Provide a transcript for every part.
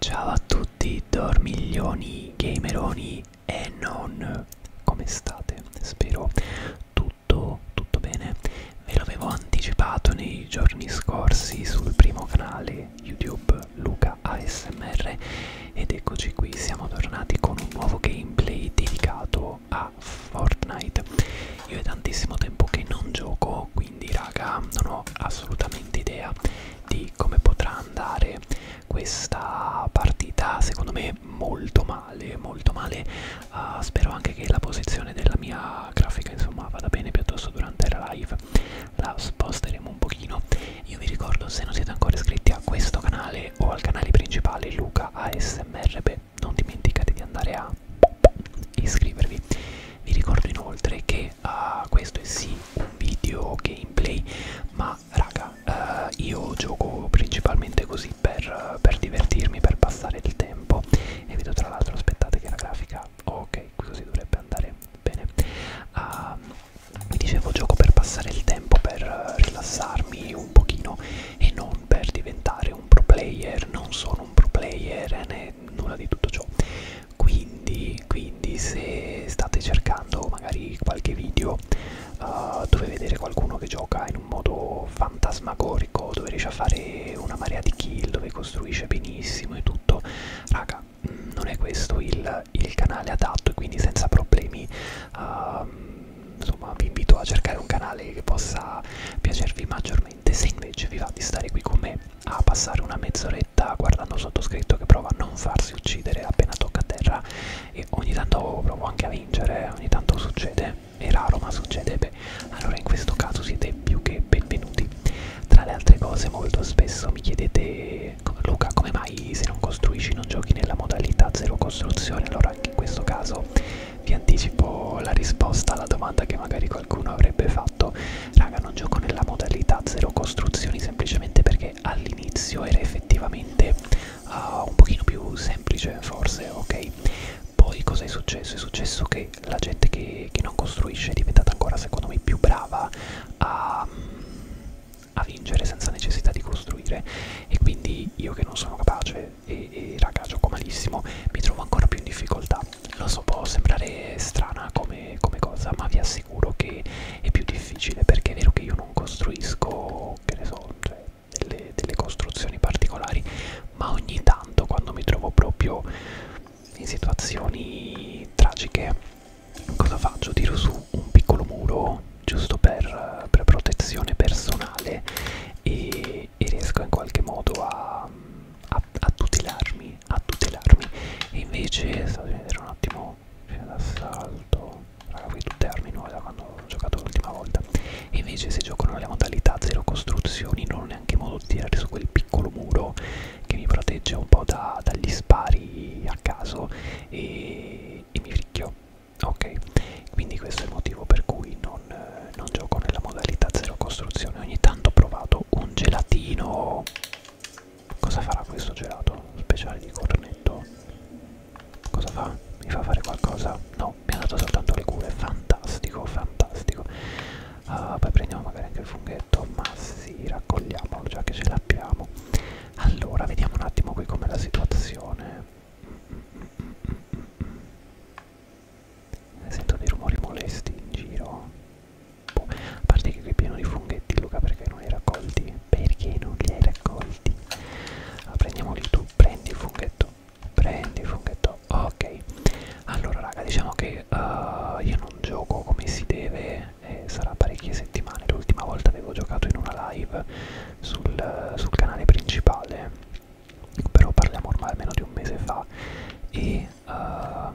Ciao a tutti dormiglioni, gameroni e non, come state? Spero tutto, tutto bene. Ve l'avevo anticipato nei giorni scorsi sul primo canale YouTube Luca ASMR ed eccoci qui, siamo tornati con un nuovo gameplay dedicato a a Fortnite. Io è tantissimo tempo che non gioco, quindi raga, non ho assolutamente idea di come potrà andare questa partita. Secondo me molto male, molto male. Uh, spero anche che la posizione della mia grafica, insomma, vada bene piuttosto durante la live. La sposteremo un pochino. Io vi ricordo se non siete ancora iscritti a questo canale o al canale principale Luca ASMR, beh, non dimenticate di andare a iscrivervi vi ricordo inoltre che uh, questo è sì un video gameplay ma raga uh, io gioco principalmente così per, uh, per divertirmi per passare il tempo e vedo tra l'altro aspettate che la grafica ok così dovrebbe andare bene uh, vi dicevo gioco per passare il tempo per uh, rilassarmi un pochino e non per diventare un pro player non sono un pro player né fare nulla di tutto ciò quindi, quindi se state cercando magari qualche video uh, dove vedere qualcuno che gioca in un modo fantasmagorico dove riesce a fare una marea di kill dove costruisce benissimo e tutto raga mm, non è questo il, il canale adatto e quindi senza problemi uh, insomma vi invito a cercare un canale che possa piacervi maggiormente veramente se invece vi va di stare qui con me a passare una mezz'oretta guardando sottoscritto che prova a non farsi uccidere appena tocca a terra e ogni tanto provo anche a vincere, ogni tanto succede, è raro ma succede, beh, allora in questo caso siete più che benvenuti. Tra le altre cose molto spesso mi chiedete Luca come mai se non costruisci non giochi nella modalità zero costruzione, allora anche in questo caso vi anticipo la risposta alla domanda che magari qualcuno avrebbe fatto raga non gioco nella modalità zero costruzioni semplicemente perché all'inizio era effettivamente uh, un pochino più semplice forse ok poi cosa è successo? È successo che la gente che, che non costruisce è diventata ancora secondo me più brava a, mm, a vincere senza necessità di costruire e quindi io che non sono capace e, e raga gioco malissimo mi trovo ancora più in difficoltà lo so può sembrare strana come, come cosa ma vi assicuro che è più difficile perché è vero che io non costruisco che ne so cioè, delle, delle costruzioni particolari ma ogni tanto quando mi trovo proprio in situazioni tragiche cosa faccio tiro su un piccolo muro giusto per, per protezione personale e e, e riesco in qualche modo a, a, a tutelarmi a tutelarmi e invece state vedere un attimo c'è cioè, l'assalto raga qui tutte armi nuove da quando ho giocato l'ultima volta e invece se giocano le modalità zero costruzioni non ho neanche modo di tirare su quel piccolo muro che mi protegge un po' da, dagli spari a caso e, e mi ricchio ok quindi questo è il motivo per cui non non gioco nella modalità zero costruzione ogni tanto ho provato un gelatino cosa farà questo gelato speciale di cornetto cosa fa mi fa fare qualcosa no mi ha dato soltanto le cure fantastico fantastico uh, poi prendiamo magari anche il funghetto ma sì raccogliamolo già che ce l'abbiamo allora vediamo un attimo qui com'è la situazione Mm, mm, mm, mm. Sento dei rumori molesti in giro. Boh. A parte che qui è pieno di funghetti, Luca, perché non li hai raccolti? Perché non li hai raccolti? Allora, prendiamoli tu, prendi il funghetto, prendi il funghetto, ok. Allora, raga, diciamo che uh, io non gioco come si deve, eh, sarà parecchie settimane. L'ultima volta avevo giocato in una live sul, sul canale principale, però parliamo ormai almeno di un mese fa e uh,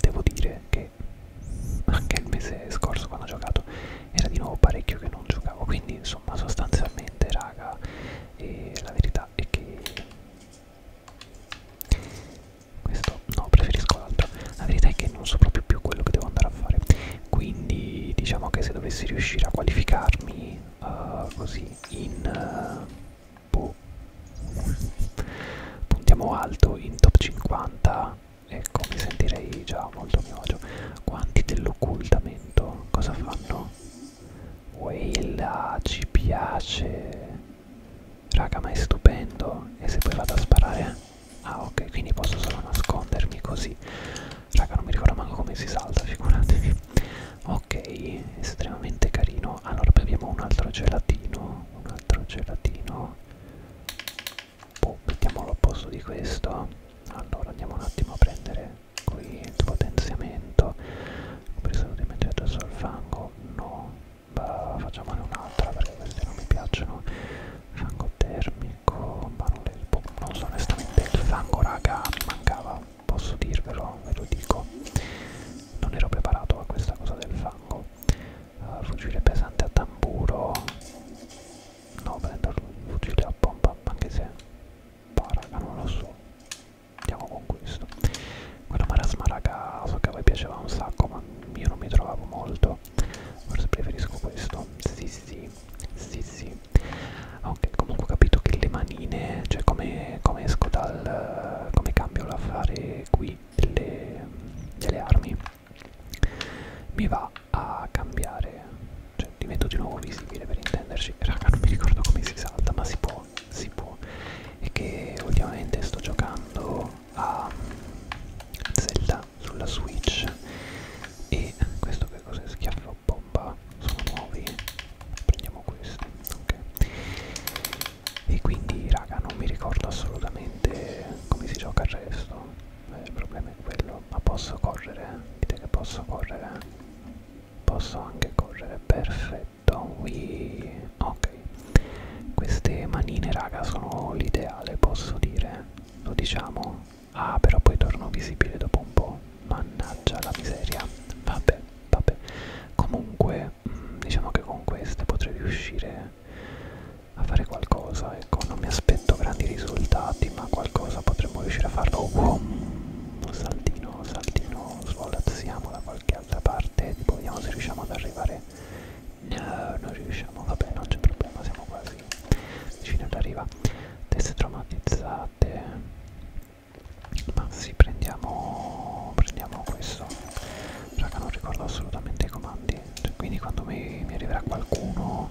devo dire che anche il mese scorso quando ho giocato era di nuovo parecchio che non giocavo quindi insomma sostanzialmente raga e la verità è che questo no preferisco l'altro la verità è che non so proprio più quello che devo andare a fare quindi diciamo che se dovessi riuscire a qualificarmi uh, così in uh, boh. puntiamo alto in top 50 ecco mi sentirei già molto a mio agio quanti dell'occultamento cosa fanno? Weila ah, ci piace raga ma è stupendo e se poi vado a sparare ah ok quindi posso solo nascondermi così raga non mi ricordo manco come si salta figuratevi ok estremamente carino allora beviamo un altro gelatino un altro gelatino boh, mettiamolo al posto di questo allora andiamo un attimo a prendere qui il potenziamento ho preso l'immediato sul fango no bah, facciamone un'altra perché queste non mi piacciono fango termico ma non, le, boh, non so onestamente il fango raga mi mancava posso dirvelo, ve lo dico, non ero preparato a questa cosa del fango. Uh, eh, fucile pesante a tamburo, no, prendo il fucile a pompa, anche se, paraga, non lo so, andiamo con questo. Quella marasma raga, so che a voi piaceva un sacco, ma io non mi trovavo molto, forse preferisco questo, sì sì, sì sì. Ok, comunque ho capito che le mani manine, cioè come, come esco dal... come cambio l'affare qui delle, delle armi mi va a cambiare, cioè divento di nuovo visibile per intenderci, raga non mi ricordo come si salta ma si può, si può e che ultimamente sto giocando a Zelda sulla Switch e questo che cos'è? Schiaffo bomba, sono nuovi, prendiamo questi, ok e quindi raga non mi ricordo assolutamente come si gioca il resto eh, il problema è quello ma posso correre dite che posso correre posso anche correre perfetto Whee. ok queste manine raga sono l'ideale posso dire lo diciamo ah però poi torno visibile dopo un po mannaggia la miseria vabbè vabbè comunque mh, mm, diciamo che con queste potrei riuscire a fare qualcosa ecco non mi aspetto grandi risultati ma qualcosa potremmo riuscire a farlo wow. saltino saltino svolazziamo da qualche altra parte tipo vediamo se riusciamo ad arrivare no non riusciamo vabbè non c'è problema siamo quasi vicini all'arriva teste traumatizzate ma sì prendiamo prendiamo questo raga non ricordo assolutamente i comandi cioè, quindi quando mi, mi arriverà qualcuno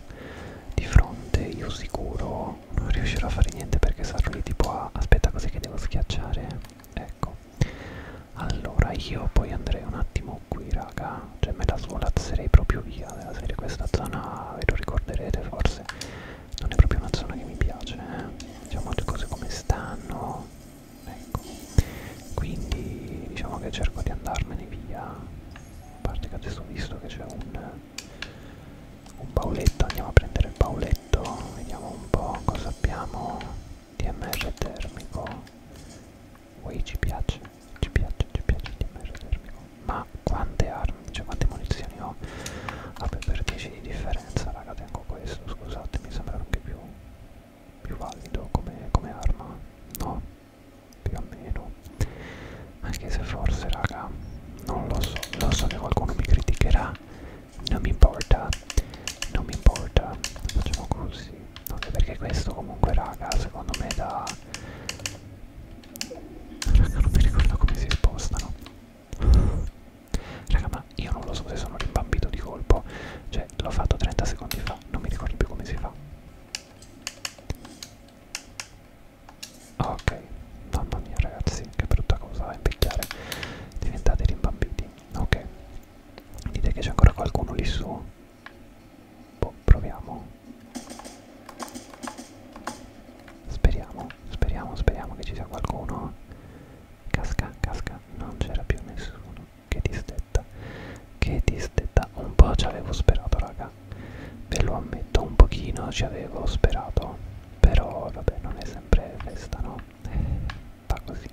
di fronte io sicuro non riuscirò a fare niente perché sarò lì tipo a, aspetta così che devo schiacciare ecco allora io poi andrei un attimo qui raga cioè me la svolazzerei proprio via della serie questa zona ve lo ricorderete forse non è proprio una zona che mi piace eh. diciamo cose come stanno ecco quindi diciamo che cerco di andarmene via a parte che adesso ho visto che c'è un un pauletto andiamo a prendere il pauletto vediamo un po' cosa abbiamo DMR termico Ui, ci piace ci piace ci piace il DMR termico ma quante armi cioè quante munizioni ho vabbè per 10 di differenza raga tengo questo scusate mi sembra anche più più valido come, come arma no più o meno anche se forse raga non lo so lo so che qualcuno mi criticherà non mi importa non mi importa facciamo così anche perché questo comunque raga secondo me da raga non mi ricordo come si spostano Raga, ma io non lo so se sono rimbambito di colpo. Cioè, l'ho fatto 30 secondi fa, non mi ricordo più come si fa. Ok, mamma mia ragazzi, che brutta cosa impicchiare. Diventate rimbambiti. Ok. Dite che c'è ancora qualcuno lì su. Boh, proviamo. Speriamo, speriamo, speriamo che ci sia qualcuno casca, casca, non c'era più nessuno, che disdetta, che disdetta, un po' ci avevo sperato raga, ve lo ammetto, un pochino ci avevo sperato, però vabbè non è sempre festa no, eh, va così,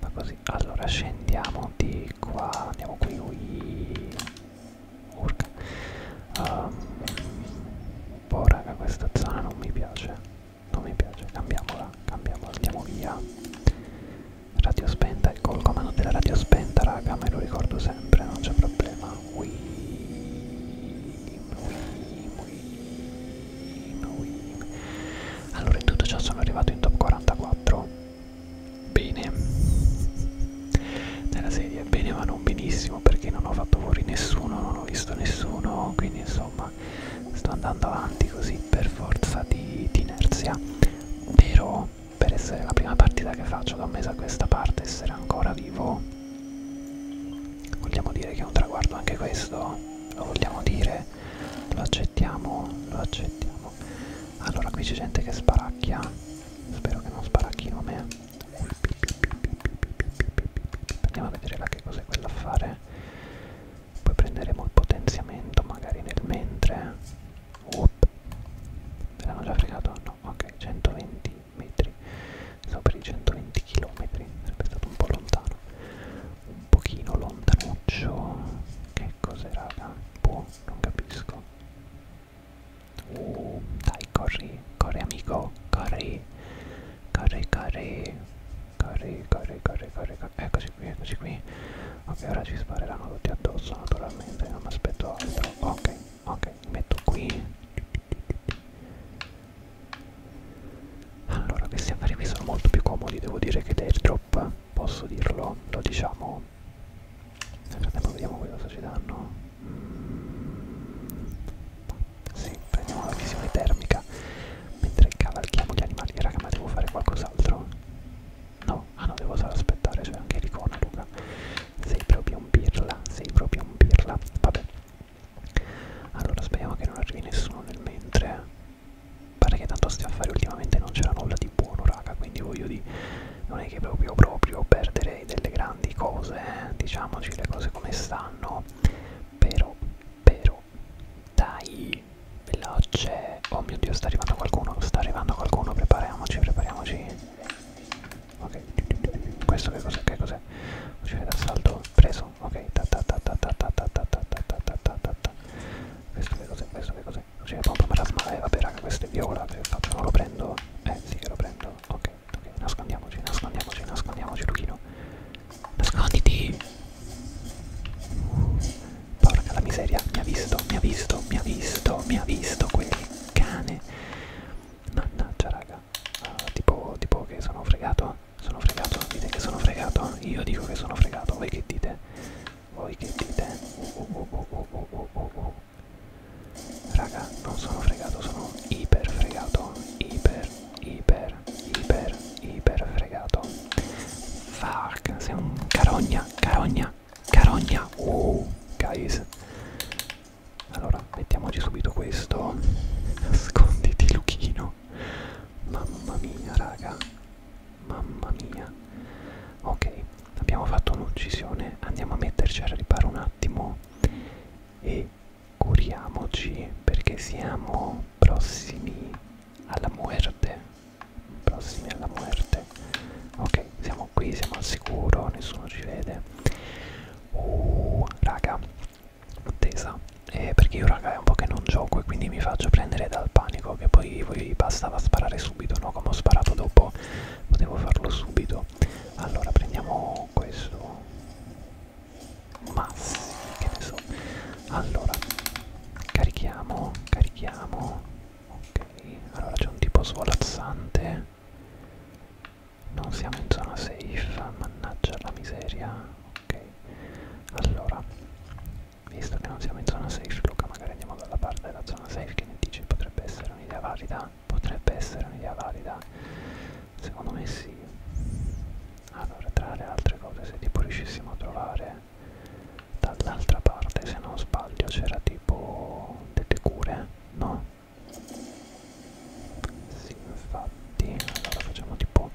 va così, allora scendiamo di qua, andiamo qui, ui, urca, um, boh raga questa zona non mi piace non mi piace cambiamola cambiamola andiamo via radio spenta ecco il comando della radio spenta raga me lo ricordo sempre non c'è problema Wim, Wim, Wim, Wim. allora in tutto ciò sono arrivato in top 44 bene nella serie bene ma non benissimo perché non ho fatto fuori nessuno non ho visto nessuno quindi insomma sto, sto andando avanti così per forza di, di inerzia però per essere la prima partita che faccio da un mese a questa parte essere ancora vivo vogliamo dire che è un traguardo anche questo lo vogliamo dire lo accettiamo lo accettiamo allora qui c'è gente che sparacchia spero che non sparacchino me andiamo a vedere là che cos'è quella a fare poi prenderemo il potenziamento magari nel mentre eh. Oop. me l'hanno già fregato? no, ok, 120 metri stavo per i 120 km sarebbe stato un po' lontano un pochino lontanuccio che cos'è raga? boh, non capisco uh, dai corri, corri amico, corri corri, corri carica, ricarica, ricarica, eccoci qui, eccoci qui. Ok, ora ci spareranno tutti addosso naturalmente, non mi aspetto altro. Ok, ok, mi metto qui. Allora, questi affari qui sono molto più comodi, devo dire che airdrop, posso dirlo, lo diciamo. Nel frattempo vediamo che cosa ci danno. Mm. Sì, prendiamo la visione termica mentre cavalchiamo gli animali raga ma devo fare qualcos'altro no ah no devo aspettare c'è cioè anche l'icona Luca sei proprio un pirla sei proprio un pirla vabbè allora speriamo che non arrivi nessuno nel mentre pare eh. che tanto stia a fare ultimamente non c'era nulla di buono raga quindi voglio di non è che proprio proprio perdere delle grandi cose eh. diciamoci le cose come stanno però però dai di veloce oh mio dio sta arrivando qualcuno sta arrivando qualcuno prepariamoci prepariamoci ok questo che cos'è che cos'è fucile d'assalto preso ok ta ta ta ta ta ta ta ta ta ta ta ta ta ta questo che cos'è questo che cos'è fucile pompa marasmale vabbè raga questo è viola che faccio non lo prendo eh sì che lo prendo ok ok nascondiamoci nascondiamoci nascondiamoci Luchino Nasconditi. Porca la miseria, mi ha visto, mi ha visto, mi ha visto, mi ha visto quel cane. Mannaggia raga. Uh, tipo, tipo che sono fregato. Sono fregato, dite che sono fregato. Io dico che sono fregato, voi che dite? Voi che dite? Oh, oh, oh, oh, oh, oh, oh, oh. Raga, non sono fregato, sono iper fregato. Iper, iper, iper, iper fregato. Fuck, sei un carogna, carogna, carogna. Oh, guys. Allora, mettiamoci subito questo. Nasconditi, Luchino. Mamma mia, raga. Mamma mia. Ok, abbiamo fatto un'uccisione. Andiamo a metterci a riparo un attimo. E curiamoci perché siamo prossimi alla muerte prossimi alla muerte ok siamo qui siamo al sicuro nessuno ci vede uh raga attesa eh, perché io raga è un po' che non gioco e quindi mi faccio prendere dal panico che poi, poi bastava sparare subito no come ho sparato dopo potevo farlo subito allora prendiamo questo ma che ne so allora Carichiamo, carichiamo. Ok, allora c'è un tipo svolazzante. Non siamo in zona safe, mannaggia la miseria. Ok, allora, visto che non siamo in zona safe, Luca, magari andiamo dalla parte della zona safe. Che ne dici? Potrebbe essere un'idea valida? Potrebbe essere un'idea valida? Secondo me sì. Allora, tra le altre cose, se tipo riuscissimo a trovare dall'altra parte se non sbaglio c'era tipo delle cure no? sì infatti allora facciamo tipo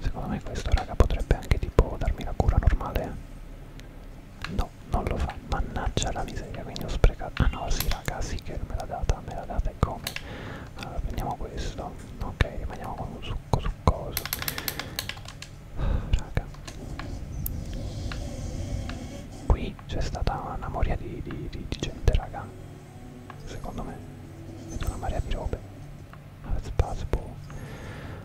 secondo me questo raga potrebbe anche tipo darmi la cura normale no non lo fa mannaggia la miseria quindi ho sprecato ah no sì raga sì che me l'ha data me l'ha data e come allora prendiamo questo ok rimaniamo con un succo succoso raga qui c'è stata una moria di, di, di, di gente raga secondo me vedo una marea di robe that's possible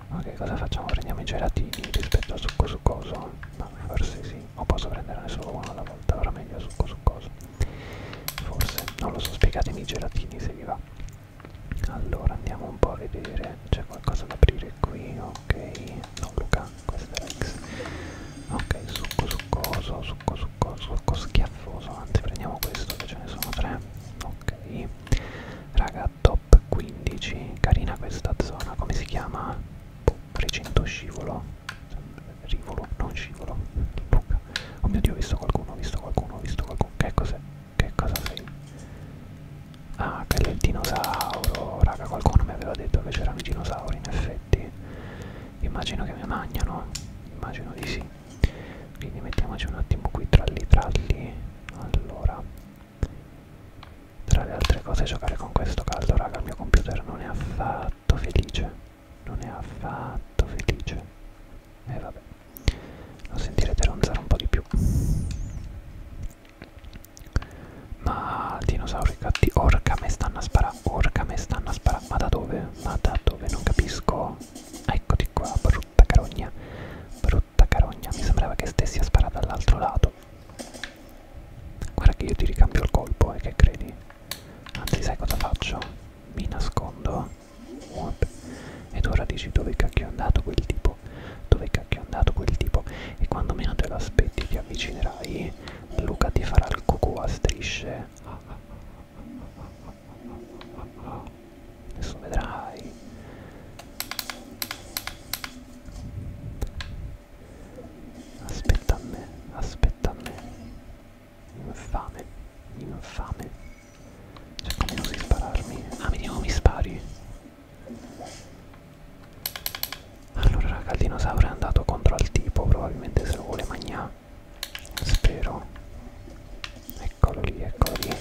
boh. ok cosa facciamo prendiamo i gelatini rispetto al succo succoso no forse sì o posso prenderne solo uno alla volta ora meglio succo succoso forse non lo so spiegatemi i gelatini se vi va allora andiamo un po' a vedere c'è qualcosa da aprire qui ok no Luca questa è X ok succo succoso succo succo succo schiaffoso anzi prendiamo questo che ce ne sono tre ok raga top 15 carina questa zona come si chiama boh, recinto scivolo rivolo non scivolo Luca oh mio dio ho visto qualcuno ho visto qualcuno ho visto qualcuno che cos'è che cosa sei? Ah, quello è il dinosauro. Raga, qualcuno mi aveva detto che c'erano i dinosauri, in effetti. Immagino che mi mangiano. Immagino di sì. Quindi mettiamoci un attimo qui tralli tralli. Allora. Tra le altre cose giocare con questo caldo, raga, il mio computer non è affatto felice. Non è affatto felice e eh, vabbè lo sentirete ronzare un po' di più ma dinosauri gatti orca me stanno a sparare orca me stanno a sparare ma da dove? ma da dove? non capisco eccoti qua brutta carogna brutta carogna mi sembrava che stessi a sparare dall'altro lato guarda che io ti ricambio il colpo e eh, che credi anzi sai cosa faccio? mi nascondo ed ora dici dove cacchio è andato quel tipo? Dove cacchio è andato quel tipo? E quando meno te lo aspetti ti avvicinerai, Luca ti farà il cucù a strisce. Adesso vedrai. Aspetta a me, aspetta a me. Infame, infame. Cerco almeno di spararmi. Ah, vediamo mi spari. Allora, raga, il dinosauro è andato contro al tipo, probabilmente se lo vuole mangiare. Spero. Eccolo lì, eccolo lì.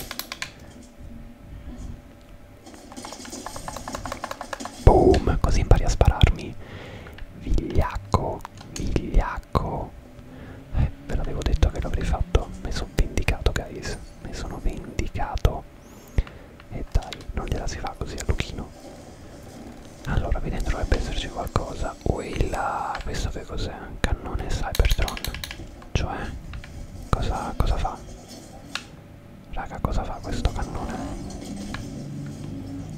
Boom, così impari a spararmi. Vigliacco, vigliacco. Eh, ve l'avevo detto che l'avrei fatto, mi sono vindicato, guys mi sono vendicato e dai non gliela si fa così a Luchino allora qui dentro dovrebbe esserci qualcosa Uila questo che cos'è? cannone Cybertron cioè cosa, cosa fa? raga cosa fa questo cannone?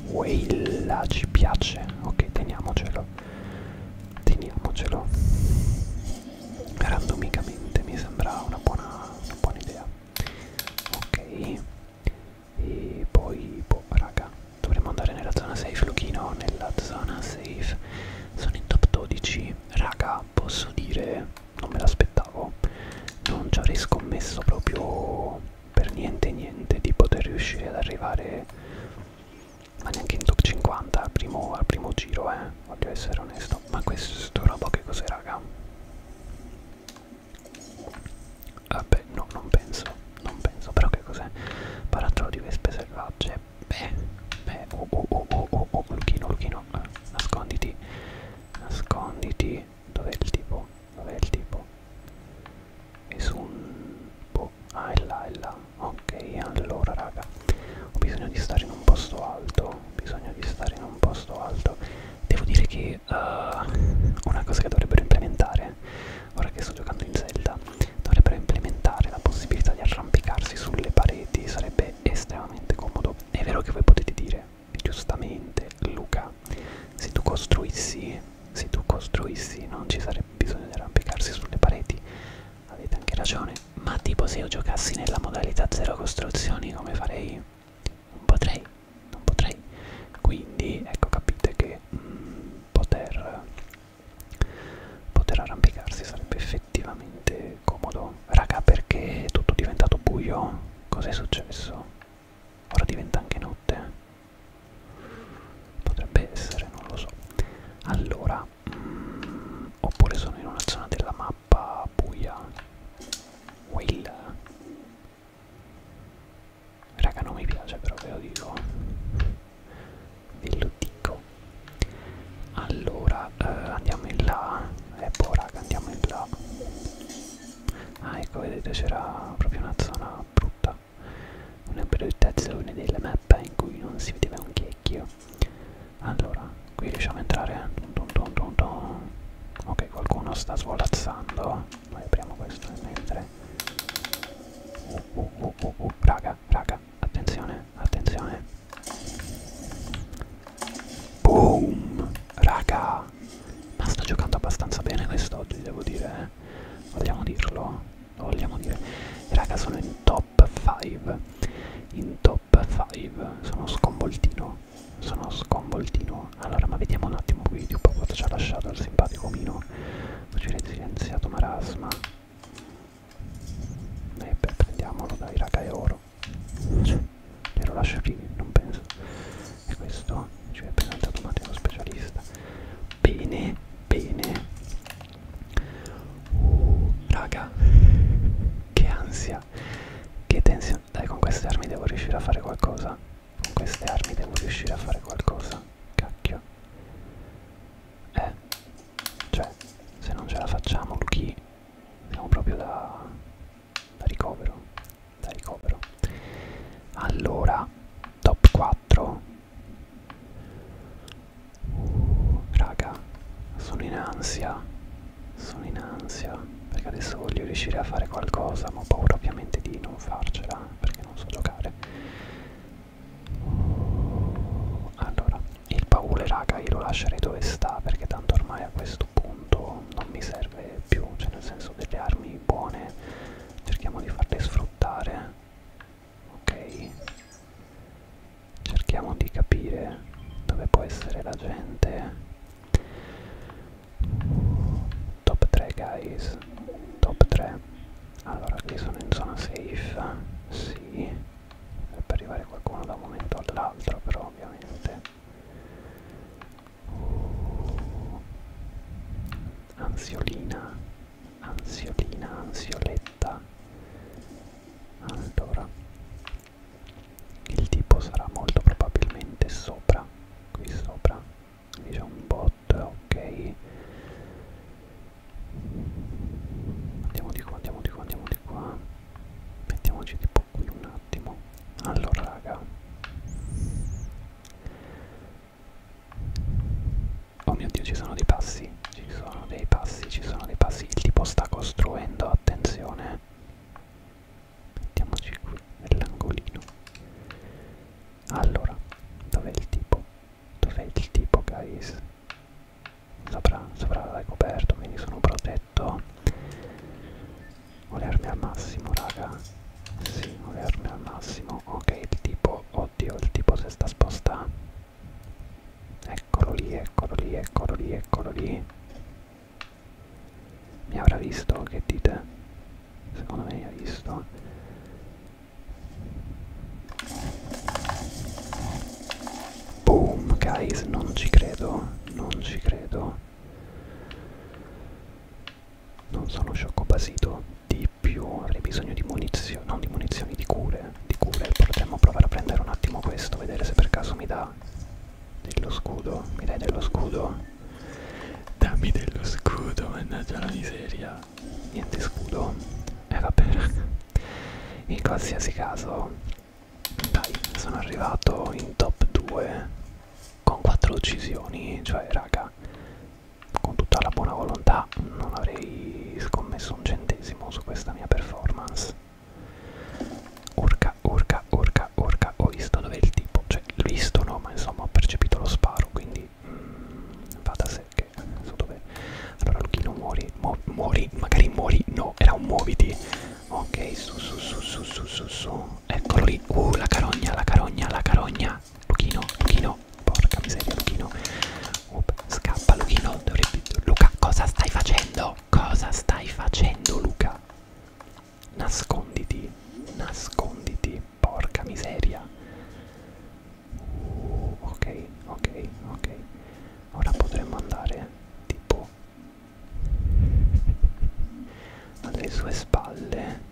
Uila ci piace ok teniamocelo teniamocelo randomicamente mi sembra una buona, una buona idea ok e poi boh raga dovremmo andare nella zona safe Luchino nella zona safe sono in top 12 raga posso dire non me l'aspettavo non ci avrei scommesso proprio per niente niente di poter riuscire ad arrivare ma neanche in top 50 al primo, al primo giro eh voglio essere onesto ma questo roba che cos'è raga? vabbè no non penso non penso però che cos'è? barattolo di vespe selvagge beh beh oh oh oh oh oh oh Luchino Luchino eh, nasconditi nasconditi dov'è il tipo? dov'è il tipo? e su un... boh ah è là è là ok allora raga ho bisogno di stare in un posto alto ho bisogno di stare in un posto alto devo dire che uh, una cosa che dovrebbero implementare ora che sto giocando in Zelda dovrebbero implementare la possibilità di arrampicarsi sulle pareti sarebbe estremamente comodo è vero che voi potete dire giustamente Luca se tu costruissi se tu costruissi non ci sarebbe bisogno di arrampicarsi sulle pareti avete anche ragione ma tipo se io giocassi nella modalità zero costruzioni come farei non potrei non potrei quindi ecco capite che mm, poter poter arrampicarsi sarebbe effettivamente comodo raga perché è tutto diventato buio cos'è successo ora diventa anche notte potrebbe essere non lo so allora mm, oppure sono in una zona della mappa buia Will raga non mi piace però ve lo dico ve lo dico allora eh, andiamo in là e eh, poi boh, raga andiamo in là ah ecco vedete c'era proprio una zona brutta una brutta zona della mappa in cui non si vedeva un checchio allora qui riusciamo a entrare eh. dun dun dun dun. ok qualcuno sta svolazzando noi apriamo questo mentre uh, uh, uh, uh, uh. raga raga attenzione attenzione boom raga ma sto giocando abbastanza bene quest'oggi devo dire eh. vogliamo dirlo lo vogliamo dire raga sono in top top 5 in top 5 sono sconvoltino sono sconvoltino allora ma vediamo un attimo qui di un po' cosa ci ha lasciato il simpatico Mino facile silenziato marasma e beh, prendiamolo dai raga è oro glielo cioè, lascio lì non penso e questo ci cioè, è presentato Matteo specialista bene bene uh, raga che ansia raga Che tensione Dai con queste armi devo riuscire a fare qualcosa Con queste armi devo riuscire a fare qualcosa Cacchio Eh Cioè se non ce la facciamo Luchi Siamo proprio da Da ricovero Da ricovero Allora Top 4 Raga, sono in ansia. Sono in ansia. Perché adesso voglio riuscire a fare qualcosa, ma ho paura ovviamente di non farcela perché non so giocare. Allora, il baule, raga, io lo lascerei dove sta perché tanto ormai a questo punto non mi serve più. Cioè, nel senso, delle armi buone cerchiamo di farle sfruttare. Ok, cerchiamo di capire dove può essere la gente top 3 guys top 3 allora qui sono in zona safe sì dovrebbe arrivare qualcuno da un momento all'altro però ovviamente uh, ansiolina ansiolina ansioletta allora il tipo sarà molto probabilmente sopra qui sopra quindi c'è un bot ok andiamo di qua andiamo di qua andiamo di qua mettiamoci tipo qui un attimo allora raga oh mio dio ci sono dei passi ci sono dei passi ci sono dei passi il tipo sta costruendo attenzione mettiamoci qui nell'angolino allora dov'è il tipo dov'è il tipo guys sopra l'avrei coperto quindi sono protetto ho le armi al massimo raga sì ho le armi al massimo ok il tipo oddio il tipo si sta spostando Eccolo lì, eccolo lì, eccolo lì, eccolo lì. Mi avrà visto? Che dite? Secondo me mi ha visto. Boom, guys, non ci credo, non ci credo. Non sono sciocco di più, avrei bisogno di munizioni, non di munizioni, di cure, di cure. Potremmo provare a prendere un attimo questo, vedere se per caso mi dà dello scudo mi dai dello scudo dammi dello scudo mannaggia la miseria niente scudo e eh, vabbè in qualsiasi caso dai sono arrivato in top 2 con 4 uccisioni cioè raga con tutta la buona volontà non avrei scommesso un centesimo su questa mia performance Urca, urca, urca, urca, ho visto dove è il tipo, cioè l'ho visto no, ma insomma ho percepito lo sparo, quindi mm, va da sé che non so dove. Allora Luchino muori, mu muori, magari muori, no, era un muoviti. Ok, su, su, su, su, su, su, su. Eccolo lì, uh, la carogna, la carogna, la carogna. Luchino, Luchino, porca miseria, Luchino. Uh, scappa Luchino, dovrebbe... Luca, cosa stai facendo? Cosa stai facendo Luca? Nasconditi, nasconditi, porca miseria. Uh, ok, ok, ok. Ora potremmo andare tipo alle sue spalle.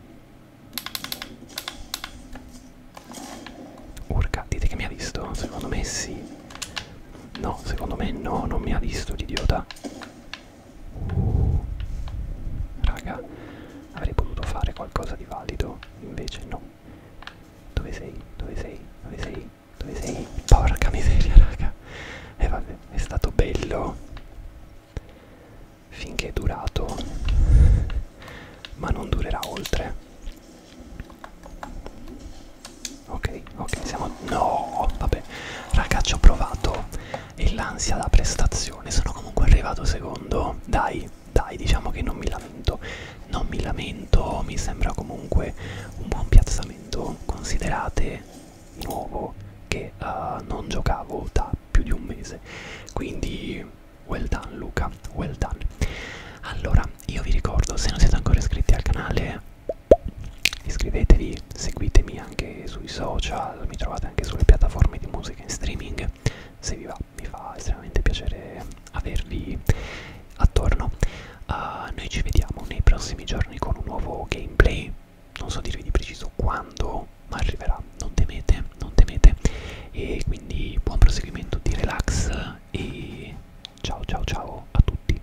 Urca, dite che mi ha visto? Secondo me sì. No, secondo me no, non mi ha visto l'idiota. Uh, raga, avrei potuto fare qualcosa di valido, invece no. Dove sei? Dove sei? Dove sei? Dove sei? Porca miseria, raga. E eh, vabbè, è stato bello. Finché è durato. Ma non durerà oltre. Ok, ok, siamo... No, vabbè. Ragazzi, ho provato e l'ansia da prestazione. Sono comunque arrivato secondo. Dai, dai, diciamo che non mi lamento. Non mi lamento, mi sembra comunque un buon piazzamento. Considerate, di nuovo, che uh, non giocavo da più di un mese. Quindi, well done Luca, well done. Allora, io vi ricordo, se non siete ancora iscritti al canale, iscrivetevi seguitemi anche sui social mi trovate anche sulle piattaforme di musica in streaming se vi va mi fa estremamente piacere avervi attorno uh, noi ci vediamo nei prossimi giorni con un nuovo gameplay non so dirvi di preciso quando ma arriverà non temete non temete e quindi buon proseguimento di relax e ciao ciao ciao a tutti